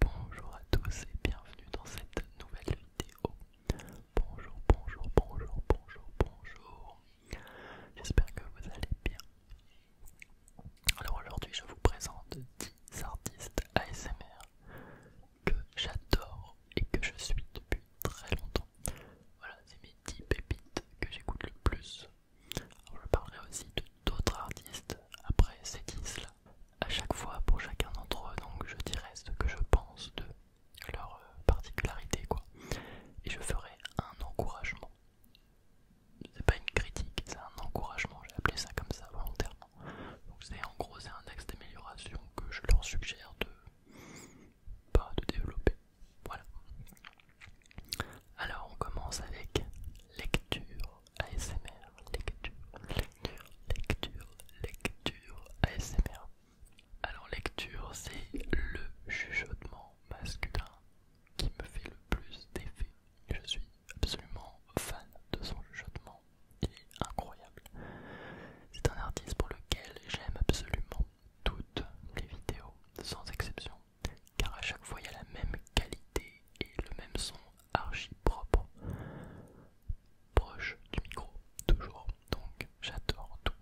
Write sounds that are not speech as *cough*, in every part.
Bonjour à tous et bienvenue dans cette nouvelle vidéo. Bonjour, bonjour, bonjour, bonjour, bonjour. J'espère que vous allez bien. Alors aujourd'hui, je vous présente 10 artistes ASMR que j'adore et que je suis depuis très longtemps. Voilà, c'est mes 10 pépites que j'écoute le plus. je parlerai aussi de d'autres artistes après ces 10 là à chaque fois pour chacun d'entre eux, donc je dirais ce que je pense de leur euh, particularité, quoi. Et je ferai un encouragement. C'est pas une critique, c'est un encouragement, j'ai appelé ça comme ça volontairement. Donc c'est en gros c'est un axe d'amélioration que je leur suggère de pas de développer. Voilà. Alors on commence avec lecture ASMR, lecture, lecture, lecture, lecture, ASMR. Alors lecture, c'est le chuchotement masculin qui me fait le plus d'effet. Je suis absolument fan de son chuchotement, il est incroyable. C'est un artiste pour lequel j'aime absolument toutes les vidéos, sans exception, car à chaque fois il y a la même qualité et le même son archi proche du micro, toujours. Donc j'adore tout.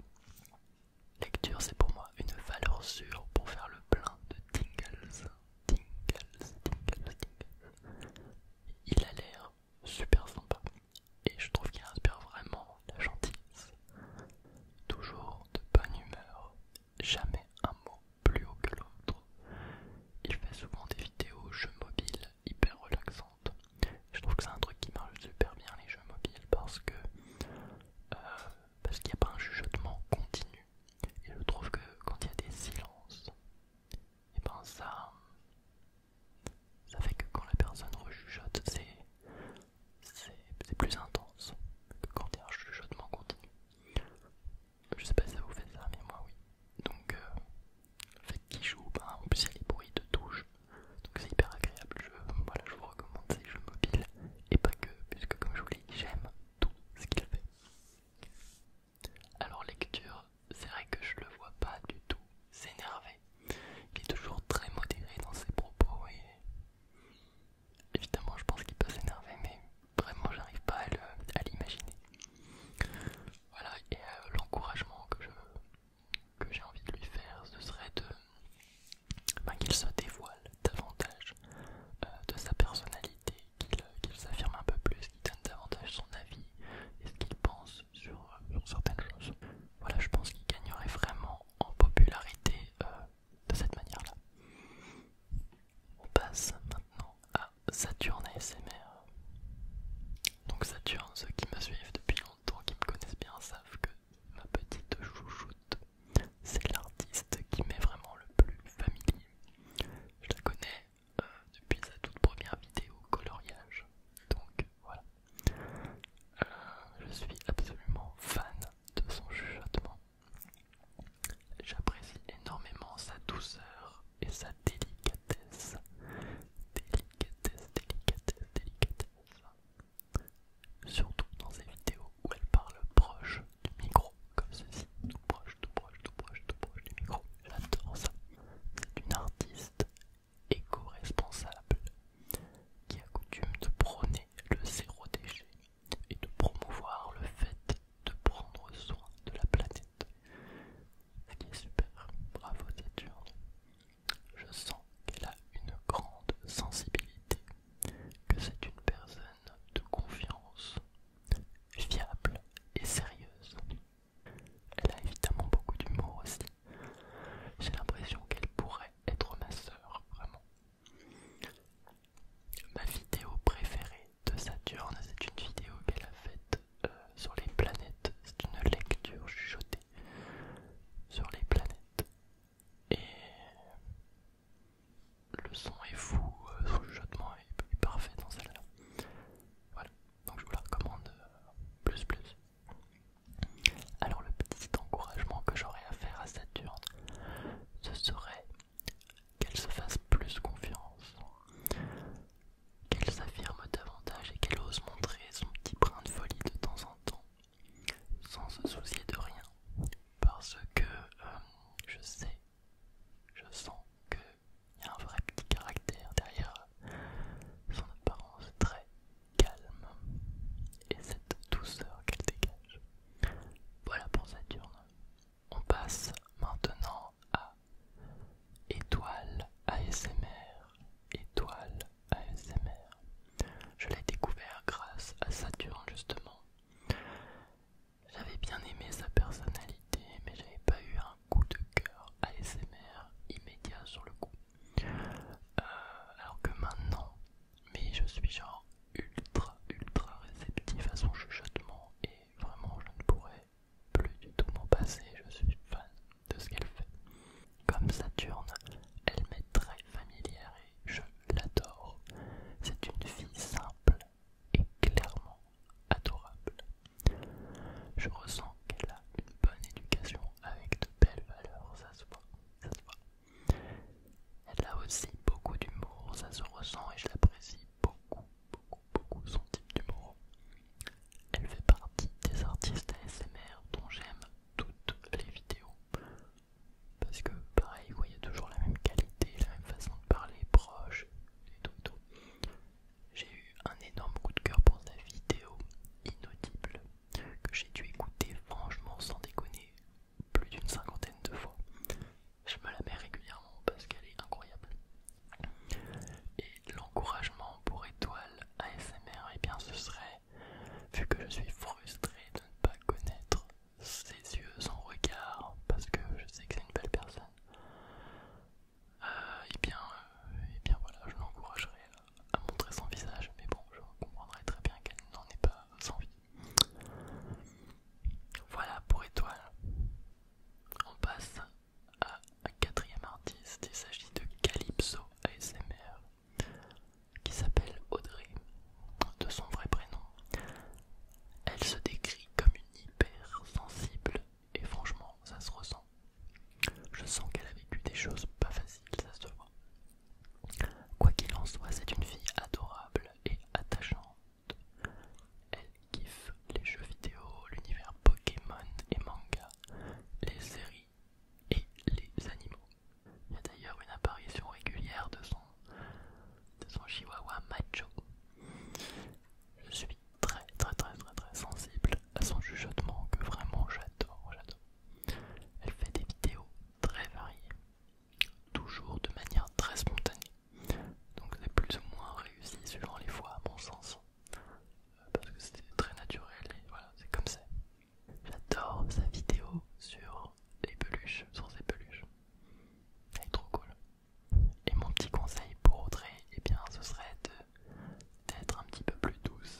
Lecture, c'est pour moi une valeur sûre pour faire le plein de tingles. Tingles, tingles, tingles. Il a l'air super sympa et je trouve qu'il inspire vraiment la gentillesse. Toujours de bonne humeur jamais un mot plus haut que l'autre. Il fait souvent des vidéos jeux mobiles hyper relaxantes. Je trouve que c'est un truc qui marche super bien les jeux mobiles parce que euh, parce qu'il n'y a pas un chuchotement continu. Et je trouve que quand il y a des silences, et eh ben ça, ça fait que quand la personne rechuchote, c'est plus intense que quand il y a un chuchotement continu. Je sais pas si ça vous fait ça, mais moi oui. Donc, euh, fait qu'il joue, bah, en plus il y a les bruits de touche, donc c'est hyper agréable. Je, voilà, je vous recommande ces jeux mobiles et pas que, puisque comme je vous l'ai dit, j'aime tout ce qu'il fait. Alors, lecture, c'est vrai que je le vois pas du tout s'énerver. Il est toujours très modéré dans ses propos et évidemment, je pense qu'il peut s'énerver, mais Vraiment, j'arrive pas à l'imaginer. Voilà, et euh, l'encouragement que que j'ai envie de lui faire, ce serait de ben, qu'il se dévoile davantage euh, de sa personnalité, qu'il s'affirme un peu plus, qu'il donne davantage son avis et ce qu'il pense sur, certaines choses. Voilà, je pense qu'il gagnerait vraiment en popularité euh, de cette manière-là. On passe maintenant à Saturne ASMR. Donc Saturne, ceux qui me suivent depuis longtemps, qui me connaissent bien, savent que ma petite chouchoute, c'est l'artiste qui m'est vraiment le plus familier. Je la connais euh, depuis sa toute première vidéo coloriage. Donc voilà. Euh, je suis absolument fan de son chuchotement. J'apprécie énormément sa douceur et sa délicatesse. Délicatesse, délicatesse, délicatesse. Surtout dans ces vidéos où elle parle proche du micro, comme ceci. Tout proche, tout proche, tout proche, tout proche du micro. J'adore ça. C'est une artiste éco-responsable qui a coutume de prôner le zéro déchet et de promouvoir le fait de prendre soin de la planète. Ce est super, bravo Saturne. Je sens qu'elle a une grande sensibilité, que c'est une personne de confiance, fiable et sérieuse. Elle a évidemment beaucoup d'humour aussi. J'ai l'impression qu'elle pourrait être ma sœur, vraiment. Ma vidéo préférée de Saturne, c'est une vidéo qu'elle a faite euh, sur les planètes, c'est une lecture chuchotée sur les planètes. Et le son est fou, euh, son chuchotement est, parfait dans celle-là. Voilà, donc je vous la recommande euh, plus plus. Alors le petit encouragement que j'aurais à faire à Saturne, ce serait qu'elle se fasse plus confiance, qu'elle s'affirme davantage et qu'elle ose montrer son petit brin de folie de temps en temps, sans se soucier de rien, parce que euh, je sais, je sens qu'il y a un vrai petit caractère derrière son apparence très calme et cette douceur qu'elle dégage. Voilà pour Saturne. On passe maintenant à Étoile ASMR. Étoile ASMR. Je l'ai découvert grâce à Saturne justement. J'avais bien aimé sa personnalité, mais j'avais pas eu un coup de cœur ASMR immédiat sur le coup. Euh, alors que maintenant, mais je suis genre ultra ultra réceptif à son chuchotement vraiment je ne pourrais plus du tout m'en passer, je suis fan de ce qu'elle fait. Comme Saturne, elle m'est très familière et je l'adore. C'est une fille simple et clairement adorable. Je ressens qu'elle a une bonne éducation avec de belles valeurs, ça se voit, ça se voit. Elle a aussi beaucoup d'humour, ça se ressent et je l'apprécie beaucoup, beaucoup, beaucoup son type d'humour. Elle fait partie des artistes ASMR dont j'aime toutes les vidéos. Parce que, pareil, il y a toujours la même qualité, la même façon de parler, proche, et tout. J'ai eu un énorme coup de cœur pour sa vidéo inaudible que j'ai dû écouter, franchement, sans déconner, plus d'une cinquantaine de fois je me la mets régulièrement parce qu'elle est incroyable. Et l'encouragement pour étoile ASMR, et eh bien ce serait, vu que je suis frustré de ne pas connaître ses yeux, son regard, parce que je sais que c'est une belle personne, et euh, eh bien, euh, eh bien voilà, je l'encouragerais à montrer son visage, mais bon, je comprendrais très bien qu'elle n'en est pas envie. Voilà pour étoile. On passe à un quatrième artiste. Il s'agit de Calypso ASMR qui s'appelle Audrey de son vrai prénom. Elle se décrit comme une hyper sensible et franchement ça se ressent. Je sens qu'elle a vécu des choses pas faciles, ça se voit. Quoi qu'il en soit, c'est une fille adorable et attachante elle kiffe les jeux vidéo, l'univers Pokémon et manga, les séries et les animaux. Il y a d'ailleurs une apparition régulière de son, son chihuahua macho. Je suis très très très très très sensible à son chuchotement que vraiment j'adore, j'adore. Elle fait des vidéos très variées, toujours de manière très spontanée. Donc c'est plus ou moins réussi selon les fois à mon sens. Euh, parce que c'était très naturel et voilà, c'est comme ça. J'adore sa vidéo sur les peluches, sur ses peluches. Elle est trop cool. Et mon petit conseil pour Audrey, eh bien ce serait d'être un petit peu plus douce.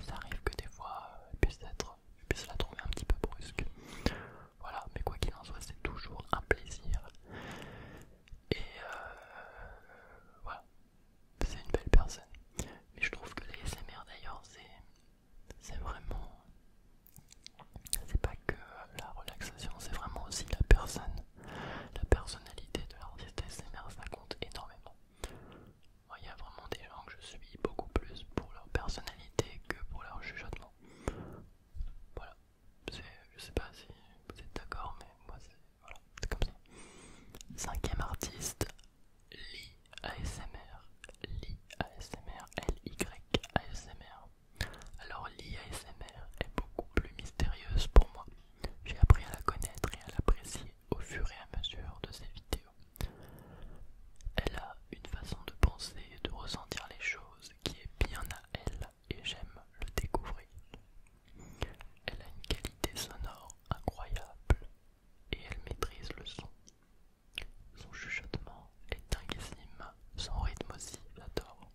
Ça arrive que des fois, être, puisse la trouver un petit peu brusque. Voilà, mais quoi qu'il en soit, c'est toujours un plaisir. Et euh, voilà, c'est une belle personne. Mais je trouve que les SMR d'ailleurs, c'est vraiment. C'est pas que la relaxation, c'est vraiment aussi la personne. La personnalité de l'artiste SMR, ça compte énormément. il y a vraiment des gens que je suis beaucoup plus pour leur personnalité que pour leur jugement Voilà, je sais pas si vous êtes d'accord, mais moi c'est comme ça. Cinquième artiste, Li ASMR. Li ASMR, L-Y ASMR. Alors Li ASMR est beaucoup plus mystérieuse pour moi. J'ai appris à la connaître et à l'apprécier au fur et à mesure de ses vidéos. Elle a une façon de penser et de ressentir les choses qui est bien à elle et j'aime le découvrir. Elle a une qualité sonore incroyable et elle maîtrise le son. Son chuchotement est dinguissime, son rythme aussi, j'adore.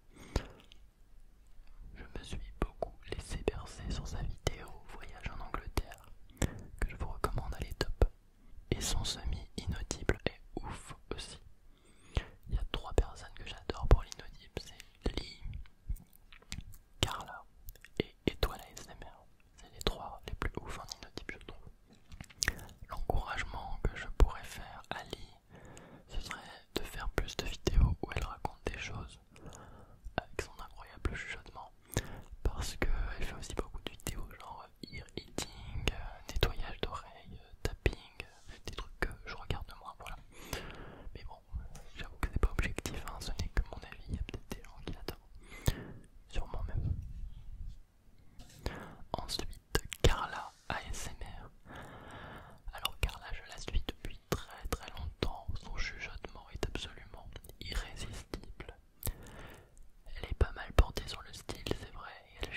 Je me suis beaucoup laissé bercer sur sa vidéo Voyage en Angleterre, que je vous recommande, à les top. Et son semi inaudible est ouf aussi. Il y a trois personnes que j'adore pour Linodip, c'est Lee, Carla et Étoile C'est les trois les plus ouf en inaudible je trouve. L'encouragement que je pourrais faire à Lee, ce serait de faire plus de vidéos où elle raconte des choses avec son incroyable chuchotement. Parce qu'elle fait aussi beaucoup de vidéos genre ear eating, nettoyage d'oreilles, tapping, des trucs que je regarde moins, voilà. Mais bon, j'avoue que c'est pas objectif, hein, ce n'est que mon avis, il y a peut-être des gens qui l'attendent. sûrement même. Ensuite, Carla ASMR. Alors Carla, je la suis depuis très très longtemps, son chuchotement est absolument irrésistible. Elle est pas mal portée sur le style, c'est vrai, et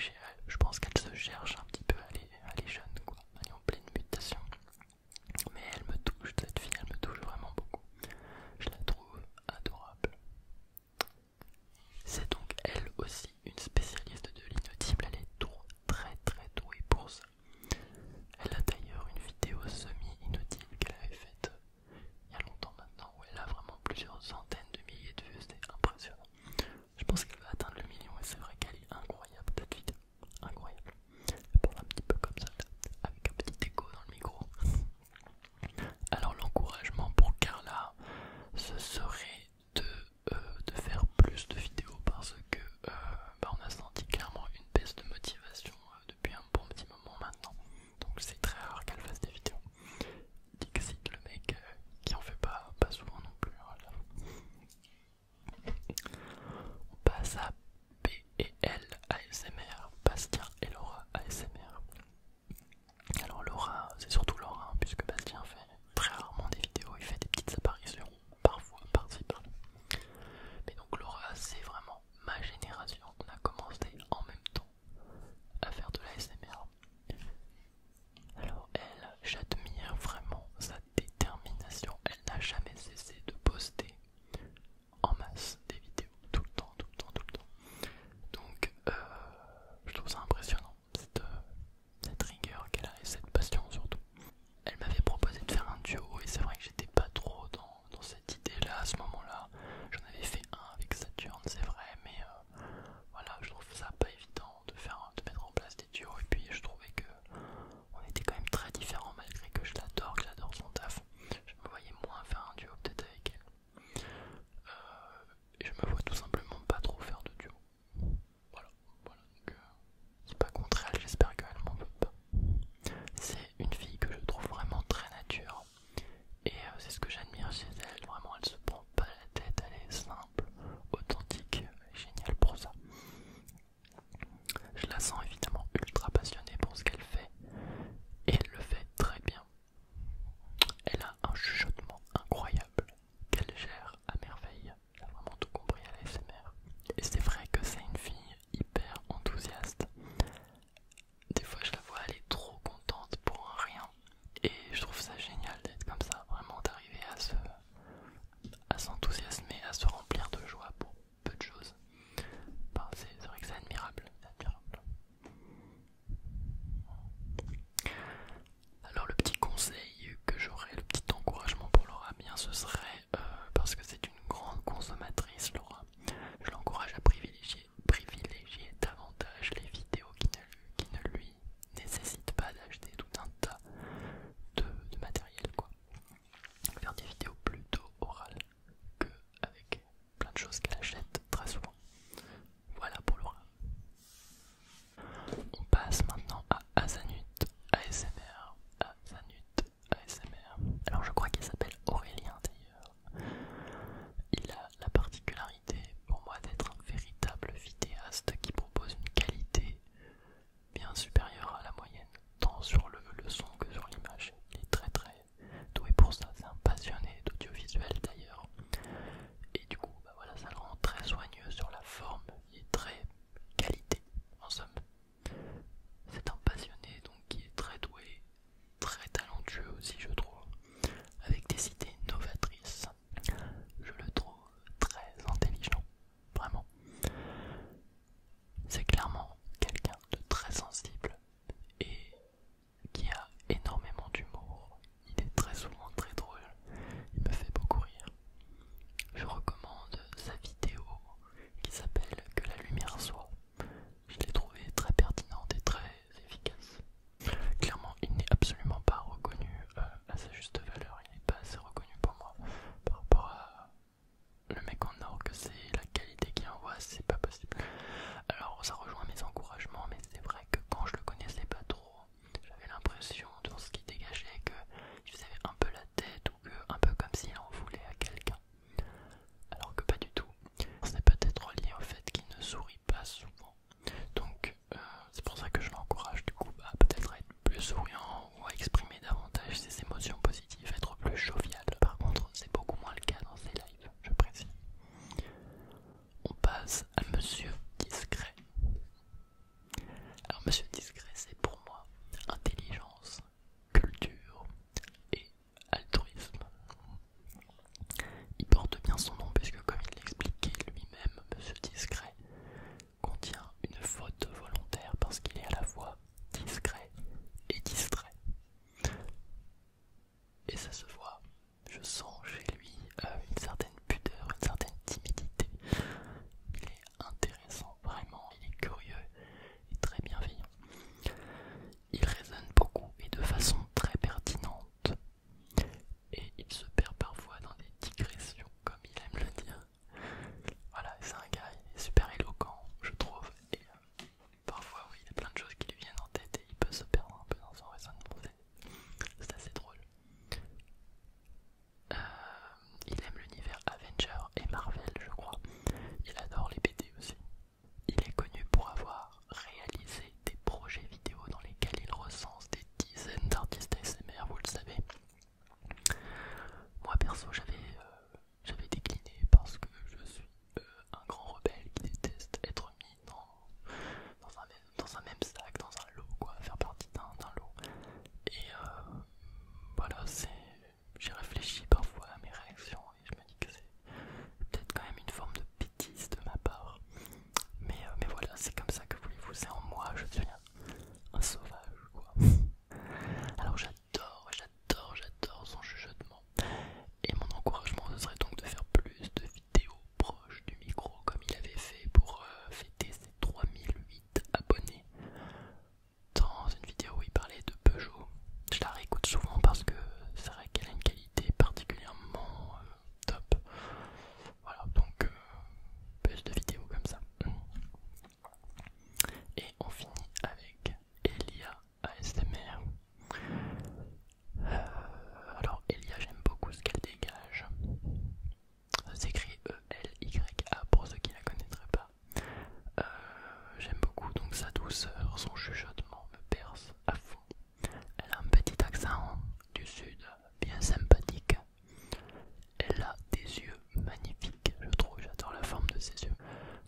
je pense qu'elle se cherche un petit peu, à les jeunes, quoi, en pleine mutation. Mais elle me touche, cette fille, elle me touche vraiment beaucoup. Je la trouve adorable. C'est donc elle aussi une spécialiste de l'inutile elle est très très douée pour ça. Elle a d'ailleurs une vidéo semi inutile qu'elle avait faite euh, il y a longtemps maintenant où elle a vraiment plusieurs centaines de milliers de vues, c'était impressionnant. Je pense qu'elle va atteindre le million et c'est vrai qu'elle est incroyable cette vidéo. Incroyable. Elle parle un petit peu comme ça, avec un petit écho dans le micro. Alors l'encouragement pour Carla, ce serait de, euh, de faire plus de vidéos parce que euh, bah, on a senti clairement une baisse de motivation euh, depuis un bon petit moment maintenant. Donc c'est très rare qu'elle fasse des vidéos. Dixit, le mec euh, qui en fait pas, pas souvent non plus. On passe à B et L ASMR, Bastien et Laura ASMR. Alors Laura, c'est surtout Laura, hein, puisque Bastien fait très rarement des vidéos, il fait des petites apparitions, parfois par-ci Mais donc Laura, c'est vraiment ma génération, on a commencé en même temps à faire de l'ASMR. Alors elle, j'admire vraiment sa détermination. Elle n'a jamais cessé de poster en masse des vidéos, tout le temps, tout le temps, tout le temps. Donc euh, je trouve ça impressionnant, euh, cette, rigueur qu'elle a et cette passion surtout. Elle m'avait proposé de faire un duo et c'est vrai que j'étais pas trop dans, cette idée-là à ce moment-là. J'en avais fait un avec Saturne, c'est vrai, mais euh, voilà, je trouve ça pas évident de, faire, de mettre en place des duos et puis je trouvais que on était quand même très différents malgré que je l'adore, que j'adore son taf. Je me voyais moins faire un duo peut-être avec elle. Euh, et je me vois tout simplement pas trop faire de duo. Voilà, voilà, donc euh, c'est pas contre elle, j'espère qu'elle m'en veut pas. C'est une fille que je trouve vraiment très nature. Et euh, c'est ce que j'admire chez elle, vraiment elle se prend pas la tête, elle est simple, authentique, génial pour ça. Je la sens évidemment ultra passionnée pour ce qu'elle fait et elle le fait très bien. Elle a un chuchotement incroyable qu'elle gère à merveille. Elle a vraiment tout compris à la Et c'est vrai que c'est une fille hyper enthousiaste. Des fois je la vois, elle est trop contente pour rien. Et je trouve ça génial d'être comme ça, vraiment d'arriver à se à s'enthousiasmer, à se remplir de joie pour peu de choses. c'est vrai que c'est admirable, Alors le petit conseil que j'aurais, le petit encouragement pour Laura, eh bien ce serait euh, parce que c'est une grande consommatrice Laura. Je l'encourage à privilégier, privilégier davantage les vidéos qui qui ne lui nécessite pas d'acheter tout un tas de, matériel quoi. Faire des vidéos plutôt orales que avec plein de choses qu'elle achète très souvent. Voilà pour l'oral. On passe maintenant à Azanut ASMR. Azanut ASMR. Alors je crois qu'il s'appelle Aurélien d'ailleurs. Il a la particularité pour moi d'être un véritable vidéaste qui propose une qualité bien supérieure à la moyenne, tant sur le, son que sur l'image. Il est très très doué pour ça, c'est un passionné d'audiovisuel d'ailleurs. Et du coup, bah voilà, ça le rend très soigneux sur la forme, il est très qualité en somme. C'est un passionné donc qui est très doué, très talentueux aussi je trouve, avec des idées novatrices je le trouve très intelligent, vraiment. C'est clairement quelqu'un de très sensible et qui a énormément d'humour. Il est très souvent très drôle, il me fait beaucoup rire. Je recommande sa vidéo qui s'appelle Que la lumière soit. Je l'ai trouvée très pertinente et très efficace. Clairement, il n'est absolument pas reconnu euh, à sa juste valeur, il n'est pas assez reconnu pour moi par rapport à le mec en or que c'est, la qualité qu'il envoie, c'est pas possible. Alors ça rejoint mes encouragements, mais c'est vrai que quand je le connaissais pas trop, j'avais l'impression dans ce qu'il dégageait que je faisait un peu la tête ou que un peu comme s'il en voulait à quelqu'un. Alors que pas du tout. C'est peut-être lié au fait qu'il ne sourit pas souvent donc euh, c'est pour ça que je l'encourage du coup à peut-être être plus souriant ou à exprimer davantage ses émotions positives, être plus jovial. Par contre c'est beaucoup moins le cas dans ces lives, je précise. On passe à Monsieur Discret. Alors Monsieur Discret c'est pour moi intelligence, culture et altruisme. Il porte bien son nom puisque, comme il l'expliquait lui-même, Monsieur Discret contient une faute volontaire parce qu'il est à la fois discret et distrait. Et ça se voit, je sens chez lui euh, une certaine pudeur, une certaine timidité. Il est intéressant, vraiment, il est curieux et très bienveillant. Il raisonne beaucoup et de façon très pertinente et il se perd parfois dans des digressions, comme il aime le dire. Voilà, c'est un gars, il est super éloquent, je trouve, et euh, parfois, oui, il y a plein de choses qui lui viennent en tête et il peut se perdre un peu dans son raisonnement. C'est assez drôle. Euh, il aime l'univers Avenger et Marvel, je crois. Il adore les BD aussi. Il est connu pour avoir réaliser des projets vidéo dans lesquels il recense des dizaines d'artistes ASMR, vous le savez. Moi perso, j'avais euh, décliné parce que je suis euh, un grand rebelle qui déteste être mis dans, un, même, sac, dans un lot, quoi, faire partie d'un lot. Et euh, voilà, j'ai réfléchi parfois à mes réactions et je me dis que c'est peut-être quand même une forme de bêtise de ma part. Euh, mais, voilà, c'est comme ça que voulez-vous, c'est en moi, je suis un, sauvage quoi. *laughs* Alors j'adore, j'adore, j'adore son chuchotement. Et mon encouragement serait donc de faire plus de vidéos proches du micro comme il avait fait pour euh, fêter ses 3008 abonnés. Dans une vidéo où il parlait de Peugeot, je la réécoute souvent parce que c'est vrai qu'elle a une qualité particulièrement euh, top. Voilà, donc euh, plus de vidéos comme ça. Et on finit avec Elia ASMR. Euh, alors Elia, j'aime beaucoup ce qu'elle dégage. Ça s'écrit E-L-Y-A pour ceux qui ne la connaîtraient pas. Euh, j'aime beaucoup donc sa douceur, son chuchotement me perce à fond. Elle a un petit accent du sud, bien sympathique. Elle a des yeux magnifiques, je trouve, j'adore la forme de ses yeux.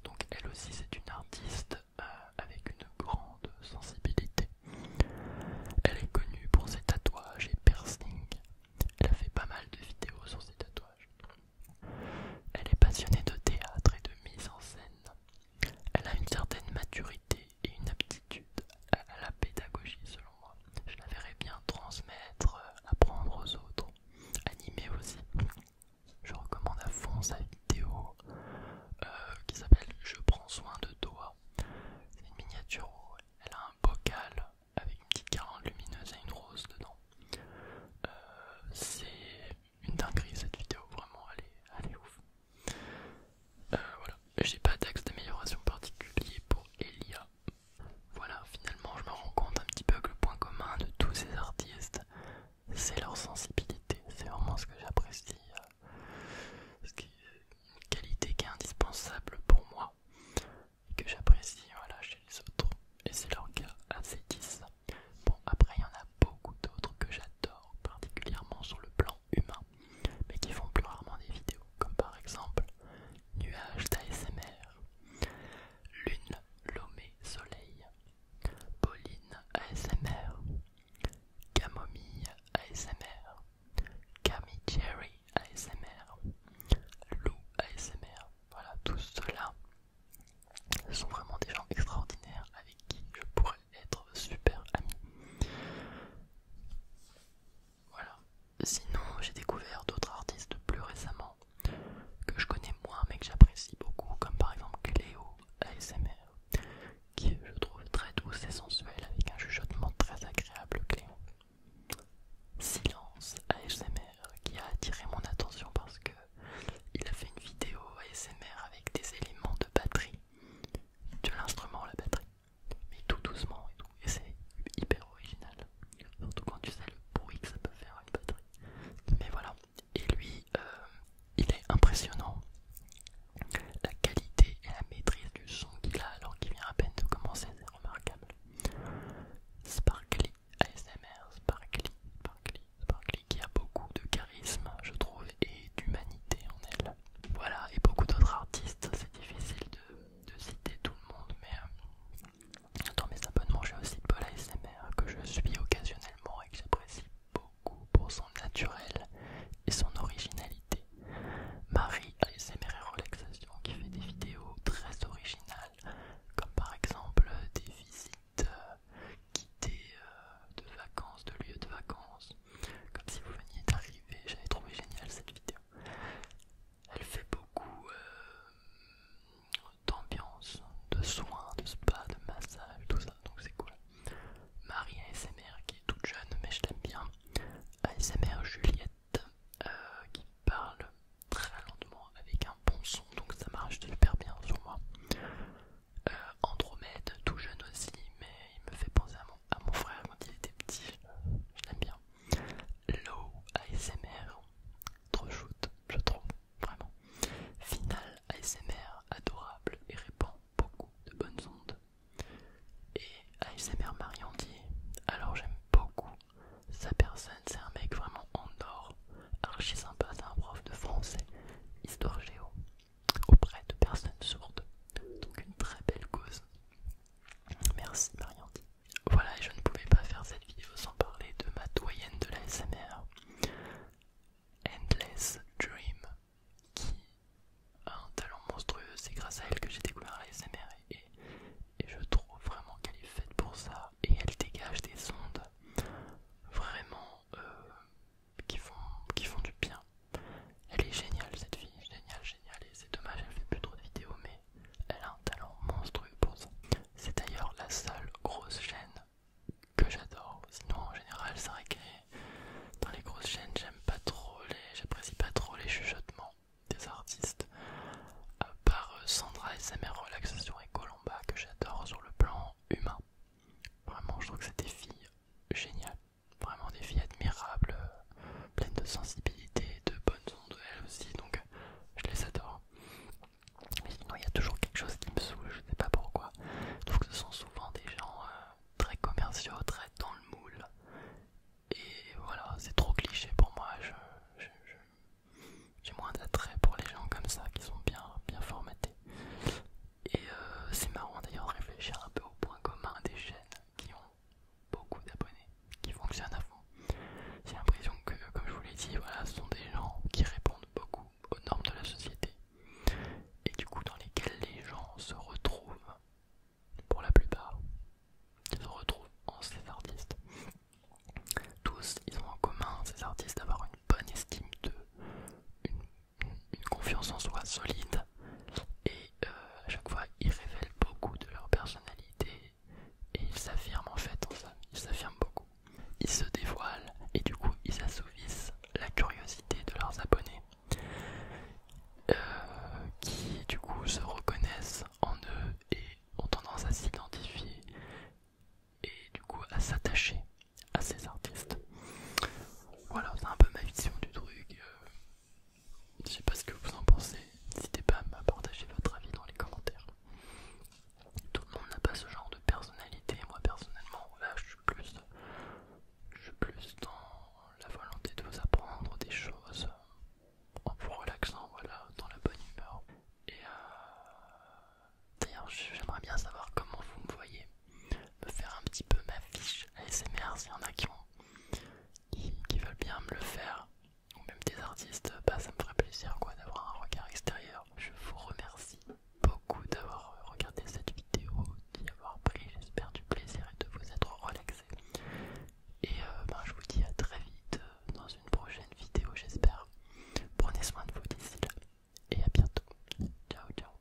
Donc elle aussi c'est une artiste euh, avec une grande sensibilité. Elle est connue pour ses tatouages et piercings. Elle a fait pas mal de vidéos sur ses tatouages. Elle est passionnée de théâtre et de mise en scène. Elle a une certaine maturité et une aptitude à la pédagogie selon moi. Je la verrais bien transmettre, euh, apprendre aux autres, animer aussi. Je recommande à fond sa vidéo euh, qui s'appelle Je prends soin de toi. C'est une miniature elle a un bocal avec une petite carante lumineuse et une rose dedans. Euh, c'est une dinguerie cette vidéo, vraiment, elle est ouf. Euh, voilà, j'ai pas d'axe d'amélioration particulier pour Elia. Voilà, finalement, je me rends compte un petit peu que le point commun de tous ces artistes, c'est leur sensibilité. C'est vraiment ce que j'apprécie. Euh, une qualité qui est indispensable pour moi et que j'apprécie chez les autres. Et c'est leur cas assez 10. Bon, après, il y en a beaucoup d'autres que j'adore, particulièrement sur le plan humains, mais qui font plus rarement des vidéos, comme par exemple Nuages d'ASMR, Lune, Lomé, Soleil, Pauline ASMR, Camomille ASMR, Camille Cherry ASMR, Lou ASMR, voilà, tout cela sont vraiment des gens extraordinaires avec qui je pourrais être super ami. Voilà. Sinon, j'ai découvert d'autres artistes plus récemment que je connais moins mais que j'apprécie beaucoup, comme par exemple Cléo ASMR, qui je trouve très douce et sensuelle avec un chuchotement très agréable, Cléo. Silence ASMR, qui a attiré mon attention parce que il a fait une vidéo ASMR avec des éléments de batterie de l'instrument, la batterie mais tout doucement et tout, c'est hyper original, surtout quand tu sais le bruit que ça peut faire une batterie. Mais voilà, et lui, euh, il est impressionnant, la qualité et la maîtrise du son qu'il a alors qu'il vient à peine de commencer, c'est remarquable. Sparkly ASMR, Sparkly, Sparkly, Sparkly qui a beaucoup de charisme, je trouve, et d'humanité en elle. Voilà, et beaucoup d'autres artistes, c'est difficile de, citer tout le monde, mais euh, dans mes abonnements, j'ai aussi Paul ASMR que je suis occasionnellement et que j'apprécie beaucoup pour son naturel et son originalité. Marie ASMR et Relaxation qui fait des vidéos très originales, comme par exemple des visites euh, guidées. Euh, de vacances, de lieux de vacances, comme si vous veniez d'arriver. J'avais trouvé génial cette vidéo. Elle fait beaucoup euh, d'ambiance, de soins, de spa, de massage, tout ça, donc c'est cool. Marie ASMR qui est toute jeune, mais je l'aime bien. ASMR Juliette euh, qui parle très lentement avec un bon son, donc ça marche super bien sur moi. Euh, Andromède, tout jeune aussi, mais il me fait penser à mon à ah, mon frère quand il était petit, je l'aime bien. Low ASMR, trop shoot, je trouve, vraiment. Final ASMR, adorable et répand beaucoup de bonnes ondes. Et ASMR Mariandier, alors j'aime beaucoup sa personne, c'est un mec vraiment en or, archi sympa, c'est un prof de français, histoire géo, auprès de personnes sourdes. Donc une très belle cause. Merci Marie-Andy. Voilà, et je ne pouvais pas faire cette vidéo sans parler de ma doyenne de la SMR, Endless Dream, qui a un talent monstrueux. C'est grâce à elle que j'ai découvert la SMR et, je trouve vraiment qu'elle est faite pour ça. Et elle dégage des ondes vraiment euh, qui font, du bien. Elle est géniale cette fille, géniale, géniale, et c'est dommage, elle fait plus trop de vidéos, mais elle a un talent monstrueux pour ça. C'est d'ailleurs la seule grosse chaîne que j'adore, sinon en général c'est vrai que dans les grosses chaînes j'aime pas trop les. j'apprécie pas trop les chuchotements des artistes. À part euh, Sandra SMR Relaxation et Colomba que j'adore sur le plan humain. Vraiment je trouve que c'est des filles géniales. Vraiment des filles admirables, euh, pleines de sensibilité, de bonnes ondes, elles aussi, donc euh, je les adore. Mais sinon, il y a toujours quelque chose qui me saoule, je ne sais pas pourquoi. Je trouve que ce sont souvent des gens euh, très commerciaux, très dans le moule. Et voilà, c'est trop cliché pour moi. J'ai moins d'attrait pour les gens comme ça qui sont bien, bien formatés. Et c'est marrant d'ailleurs de réfléchir un peu au point commun des chaînes qui ont beaucoup d'abonnés, qui fonctionnent à fond. J'ai l'impression que, comme je vous l'ai dit, voilà, ce sont des gens qui répondent beaucoup aux normes de la société et du coup dans lesquels les gens se retrouvent, pour la plupart, ils se retrouvent en ces artistes. Tous, ils ont en commun ces artistes d'avoir une bonne estime d'eux, une une confiance en soi solide et euh, à chaque fois ils révèlent beaucoup de leur personnalité et ils s'affirment en fait ils s'affirment beaucoup. Ils se dévoilent et du coup ils assouvissent la curiosité de leurs abonnés euh, qui du coup se reconnaissent en eux et ont tendance à s'identifier et du coup à s'attacher à ces artistes. Voilà, c'est un peu ma vision du truc. Je euh. je sais pas ce que vous en pensez. N'hésitez pas à partager votre avis dans les commentaires. Tout le monde n'a pas ce genre de personnalité. Moi personnellement, là, je suis plus, je plus dans la volonté de vous apprendre des choses en vous relaxant, voilà, dans la bonne humeur. Et euh, d'ailleurs, j'aimerais bien savoir comment vous me voyez me faire un petit peu ma fiche ASMR s'il y en a qui, qui, veulent bien me le faire ou même des artistes, bah, ça me ferait plaisir quoi d'avoir un regard extérieur. Je vous remercie beaucoup d'avoir regardé cette vidéo, d'y avoir pris j'espère du plaisir et de vous être relaxé. Et euh, bah, je vous dis à très vite euh, dans une prochaine vidéo j'espère. Prenez soin de vous d'ici là et à bientôt. Ciao ciao